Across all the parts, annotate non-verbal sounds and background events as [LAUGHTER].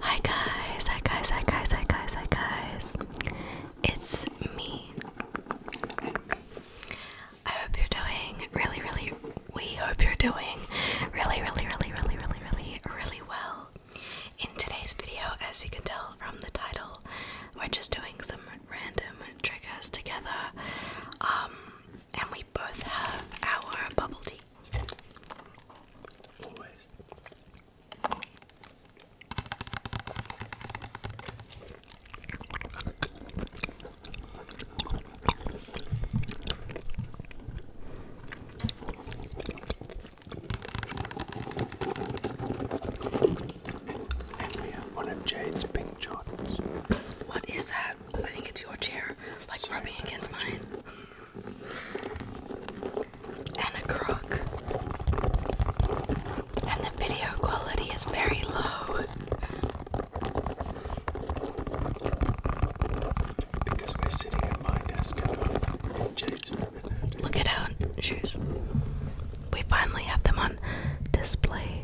Hi guys, hi guys, hi guys, hi guys, hi guys. It's me. I hope you're doing really, really, we hope you're doing really, really, really, really, really, really, really well. In today's video, as you can tell from the title, we're just doing some random triggers together. Um, and we both have our bubble tea. And we have one of Jade's pink Jordans. What is that? I think it's your chair like rubbing against mine. And a crook. And the video quality is very low. Because we're sitting at my desk Look at our shoes. We finally have them on display.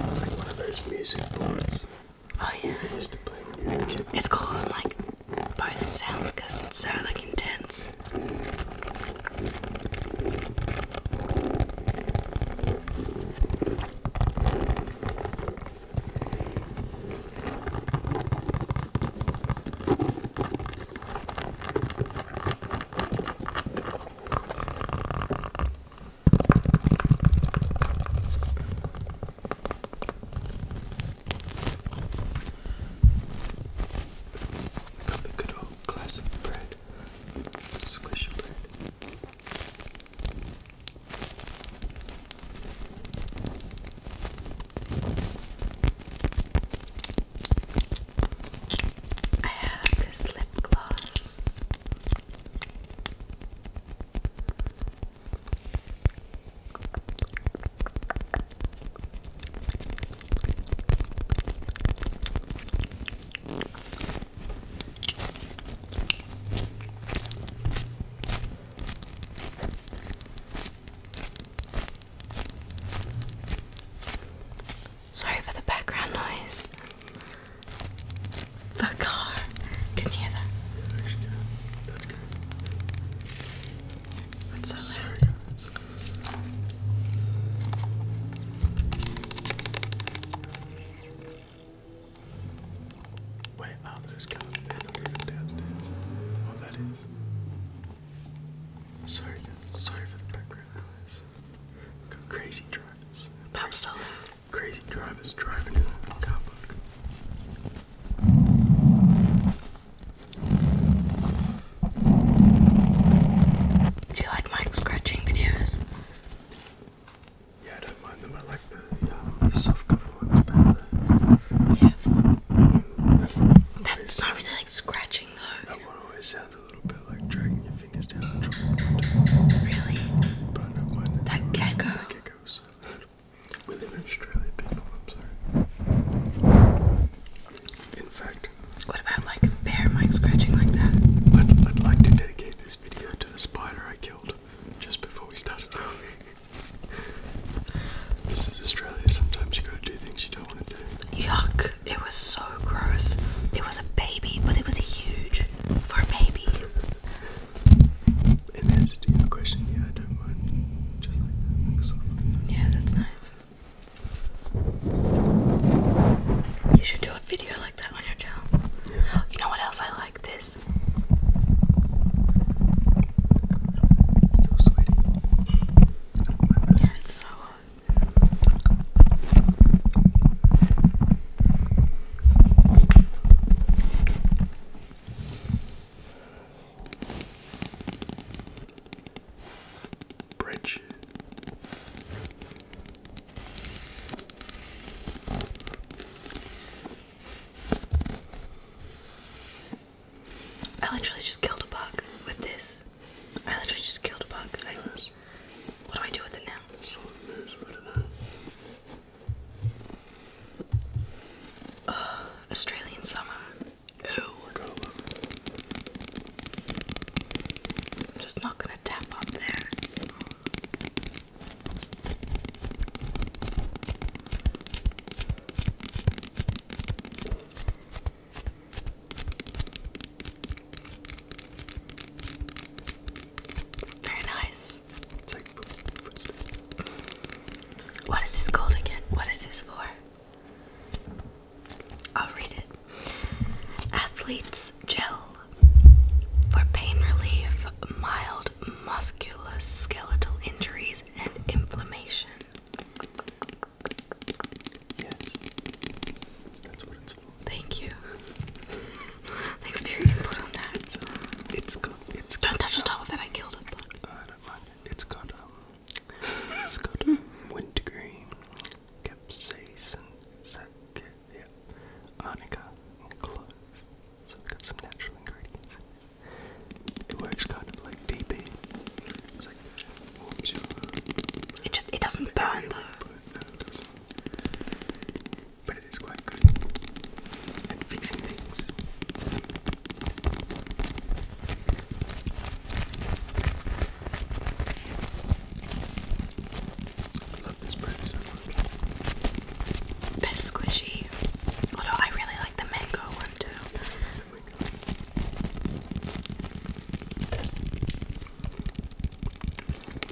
It's like one of those music boards. Oh yeah. I used to play when It's cool and like both sounds because it's so like intense. Got the good old classic bread, squishy bread. I have this lip gloss. Sorry for the background noise. The car. Can hear that? That's good. That's good. Wait, oh, there's downstairs. Oh, that is. Sorry, Sorry for the background noise. Go crazy cars. That was Crazy drivers driving in a car park. Do you like my scratching videos? Yeah, I don't mind them. I like the, uh, the soft cover ones better. Mm, that's, not really like scratching though. Really? I that. gecko. [LAUGHS] in am oh, sorry. fact. What about like bear mic scratching like that? I'd like to dedicate this video to the spider I killed just before we started filming. [LAUGHS] this is Australia. Sometimes you gotta do things you don't want to do. Yuck. It was so gross. It was a baby, but it was huge for a baby. In answer to your question, yeah, I don't mind. Just like that, like softly. Yeah, that's nice. You should do a video like that on your channel. You know what else I like? This. Yeah, it's so Bridge. I literally just killed a bug with this. I literally just killed a bug. what do I do with it now? Australian summer. Ew. just not gonna tap up there. Very nice. What is this called again? What is this for? I'll read it. Athlete's gel for pain relief, mild musculoskeletal injuries, and inflammation. Yes, that's what it's for. Thank you. [LAUGHS] Thanks for your input on that. It's, uh, it's It's don't touch the uh, top of it. I killed a I don't mind it. It's got um, it's got hmm. wintergreen, capsaicin, yeah, arnica, clove. So we've got some natural ingredients. It works kind of like DP. It just it doesn't burn though. But it is quite good fixing things. I love this bread so much. Bit squishy. I really like the mango one too.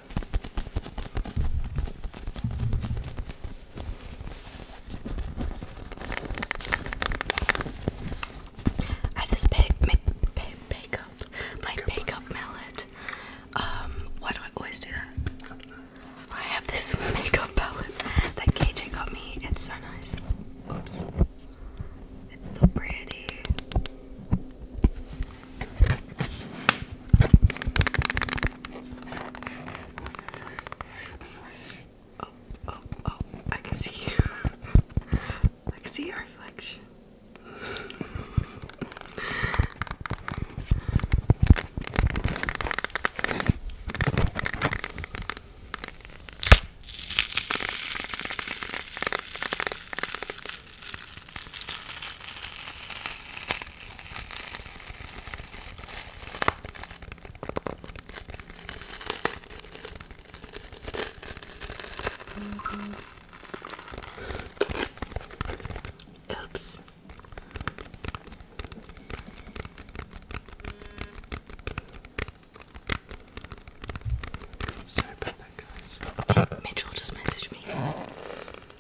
I have this big, big, big my big up um, why do I always do that? I have this makeup [LAUGHS] palette that KJ got me. It's so nice. Oops. It's so pretty. Oh, oh, oh, I can see you. [LAUGHS] I can see your reflection. Oops. Sorry about that, guys. Mitchell just messaged me.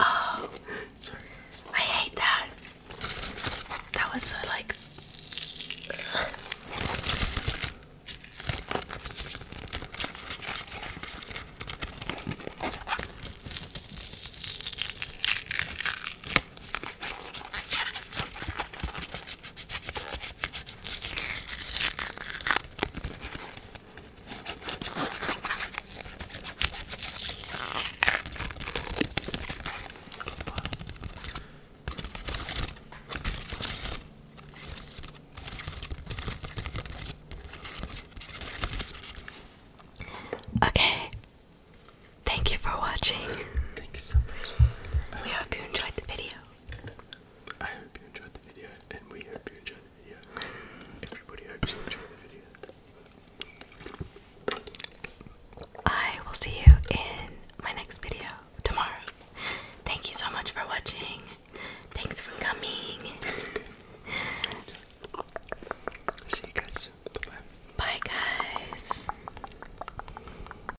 Oh, sorry. I hate that. That was so like. Okay. Thank you for watching. Thank you so much. We hope you enjoyed the video. I hope you enjoyed the video, and we hope you enjoyed the video. Everybody hopes you enjoyed the video. I will see you in my next video tomorrow. Thank you so much for watching. Thanks for coming. [LAUGHS] See you guys soon. Bye guys.